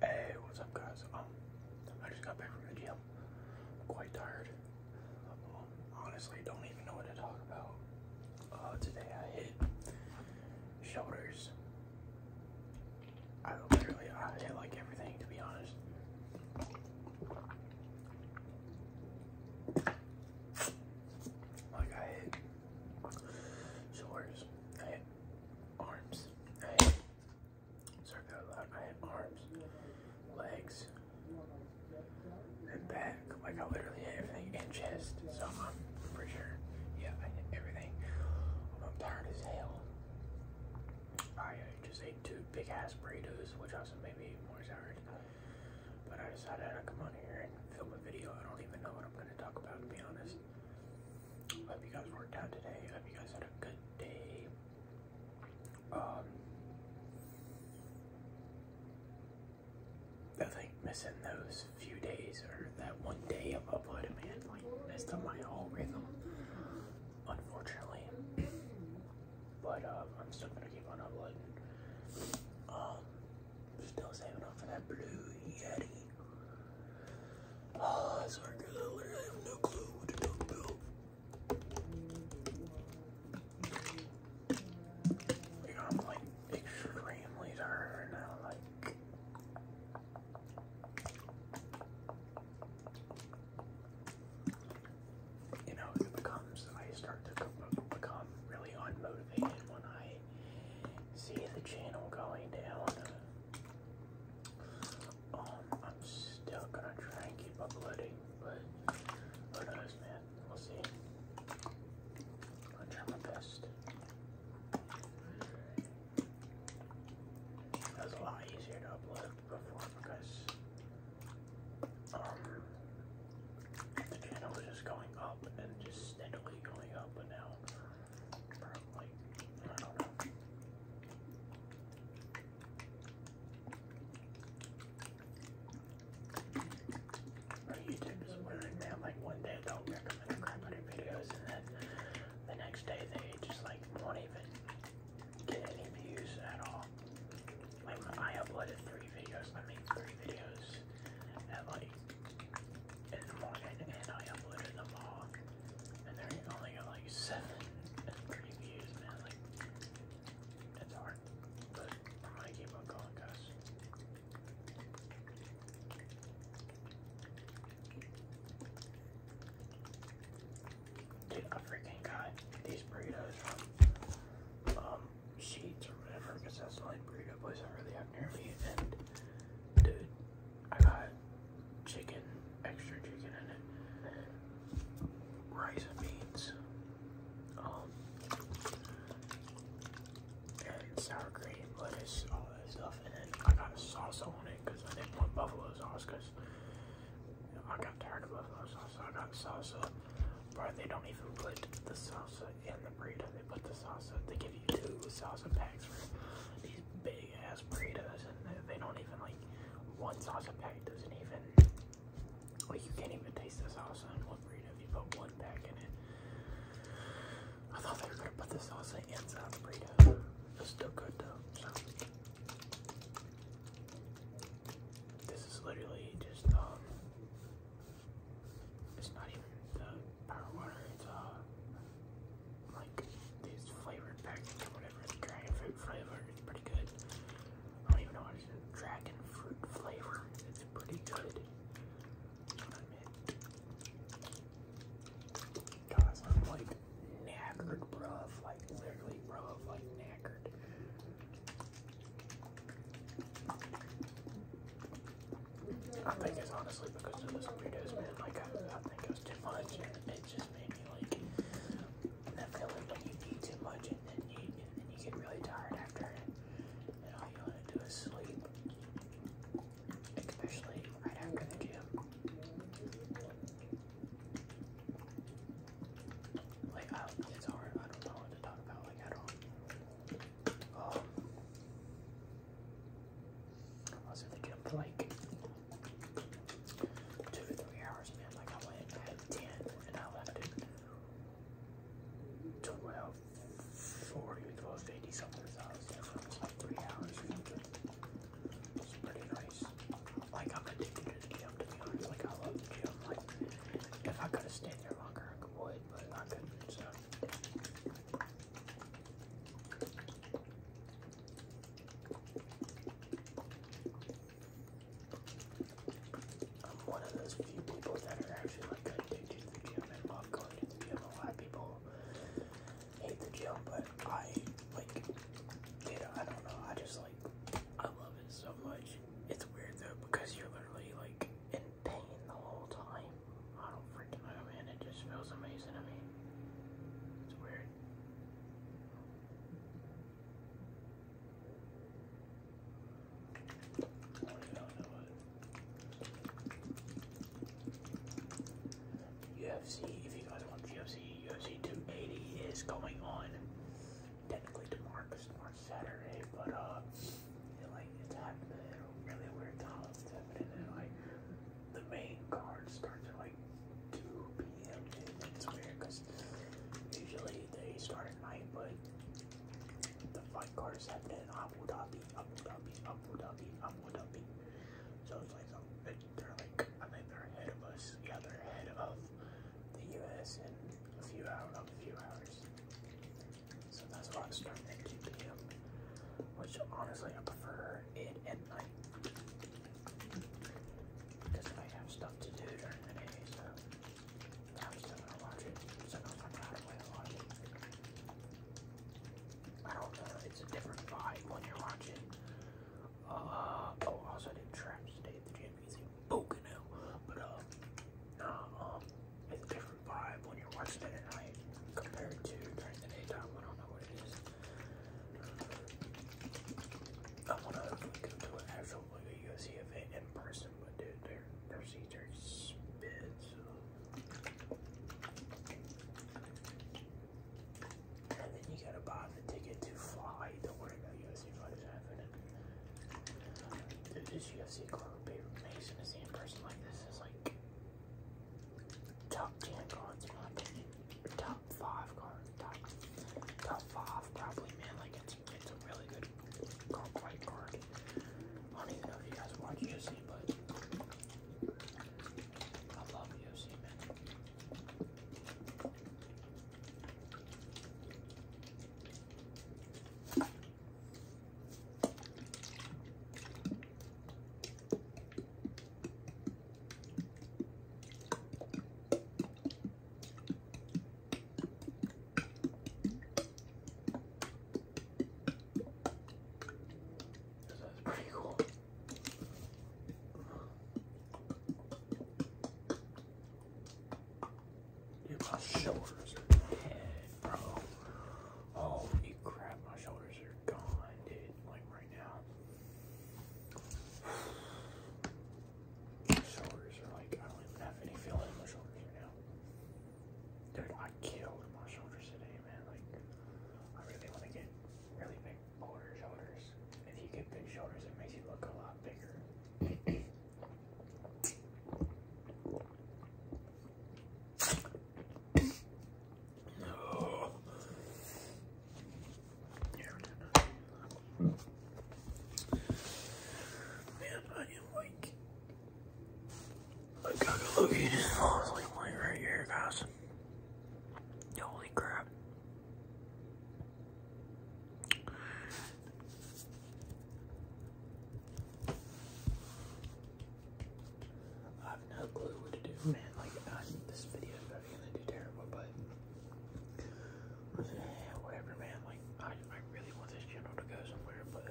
Hey, what's up, guys? Um, I just got back from the gym. am quite tired. Um, honestly, don't even know what to talk about. Uh, today I hit shoulders. I literally, I hit like everything, to be honest. Like I hit shoulders, I hit arms. sorry that a lot. I had arms, legs, and back. Like I literally everything and chest. So I'm pretty sure. Yeah, I did everything. I'm tired as hell. I uh, just ate two big ass burritos, which also made me even more tired. But I decided I'd come on here and film a video. I don't even know what I'm going to talk about, to be honest. I hope you guys worked out today. hope you guys had a good day. Um, I think missing those few days or that one day of uploading, man, like messed up my whole rhythm, unfortunately. But uh, I'm still gonna keep on uploading. Um, Still saving up for that blue Yeti. Oh, I swear I have no clue what to talk I'm like extremely tired now. Like, you know, it becomes, I start to become really unmotivated when I see the channel going down. Um, I'm still gonna try and keep uploading, but who knows, man? We'll see. I'll try my best. It was a lot easier to upload before because um, the channel is just going up and just steadily going up and now like I don't know. YouTube is weird, man. Like one day they'll recommend a hundred videos and then the next day they just like won't even get any views at all. Remember, I uploaded three videos. I made three videos at like in the morning, and I uploaded them all. And there only like seven and three views, man. Like that's hard, but I'm gonna keep on going, guys. Dude, freaking got these burritos um, sheets or whatever because that's the only burrito place I really have near me. And dude, I got chicken, extra chicken in it, rice and beans, um, and sour cream, lettuce, all that stuff. And then I got a salsa on it because I didn't want buffalo sauce because I got tired of buffalo sauce salsa, not salsa. Bro, they don't even put the salsa in the burrito. They put the salsa. They give you two salsa packs for these big ass burritos, and they don't even like one salsa pack doesn't even like you can't even taste the salsa in one burrito if you put one pack in it. I thought they were gonna put the salsa inside the burrito. It's still good though. So. This is literally just um it's not even the power water, it's uh like these flavored packets or whatever, dragon fruit flavor, it's pretty good. I don't even know what it is, dragon fruit flavor, it's pretty good. Guys, I'm like knackered, bruv, like literally, bruv, like knackered. I think it's honestly because of those weirdos, man. Like, I, think it was too much, and it just made me like that feeling when you eat too much, and then you and then you get really tired after, it, and all you want to do is sleep, especially right after the gym. Like, I don't, it's hard. I don't know what to talk about, like, at all. Um, I was at the gym for like two three hours, man. Like, I went at 10 and I left at 12 something. So I was there like three hours it's pretty nice. Like, I'm going to the gym, to be honest. Like, I love the gym. Like, if I could have stayed there longer, I would, but I couldn't, so. I'm one of those few people that are actually like addicted to the gym and love going to the gym. A lot of people hate the gym, but I like, you I don't know. I just like I love it so much. It's weird though because you're literally like in pain the whole time. I don't freaking know, man. It just feels amazing. to me. it's weird. UFC, if you guys want UFC, UFC 280 is going on technically tomorrow because Saturday, but uh, like it's happening at a really weird time. It's happening at like the main card starts at like 2 p.m. it's weird because usually they start at night, but the fight card is happening in Abu Dhabi, Abu Dhabi, Abu Dhabi, Abu Dhabi. So it's like, um, they're like, I think they're ahead of us. Yeah, they're ahead of the U.S. in a few hours, a few hours. So that's why I am starting at 2 p.m., which honestly I prefer it at night. Because I have stuff to do during the day, so I'm still gonna watch it. So I'm not gonna play a lot of it. I don't know, it's a different vibe when you're watching uh, oh, also I did trap today at the gym because it's broken now. But uh, nah, um, it's a different vibe when you're watching it at night compared to during the daytime. I don't know what it is. I want to go to an actual like a UFC event in person, but dude, their their seats are spits. And then you gotta buy the ticket to fly. Don't worry about UFC fighters having it. Dude, this UFC card paper Mason to see in person like this is like top ten cards in my opinion. top five cards. Top top five probably man, like it's it's a really good card quite card. I don't even know if you guys watch UFC, but I love you, man. So that's pretty cool. my shoulders are dead, bro. Holy crap, my shoulders are gone, dude. Like right now. My shoulders are like, I don't even have any feeling in my shoulders right now. Dude, I killed my shoulders today, man. Like, I really want to get really big boulder shoulders. If you get big shoulders, it makes you look a lot bigger. oh. man, I am like I gotta go look at this honestly like right here, guys. Holy crap. I have no clue what to do, man. Like, I, this video is probably gonna do terrible, but whatever, man. Like, I, I really want this channel to go somewhere, but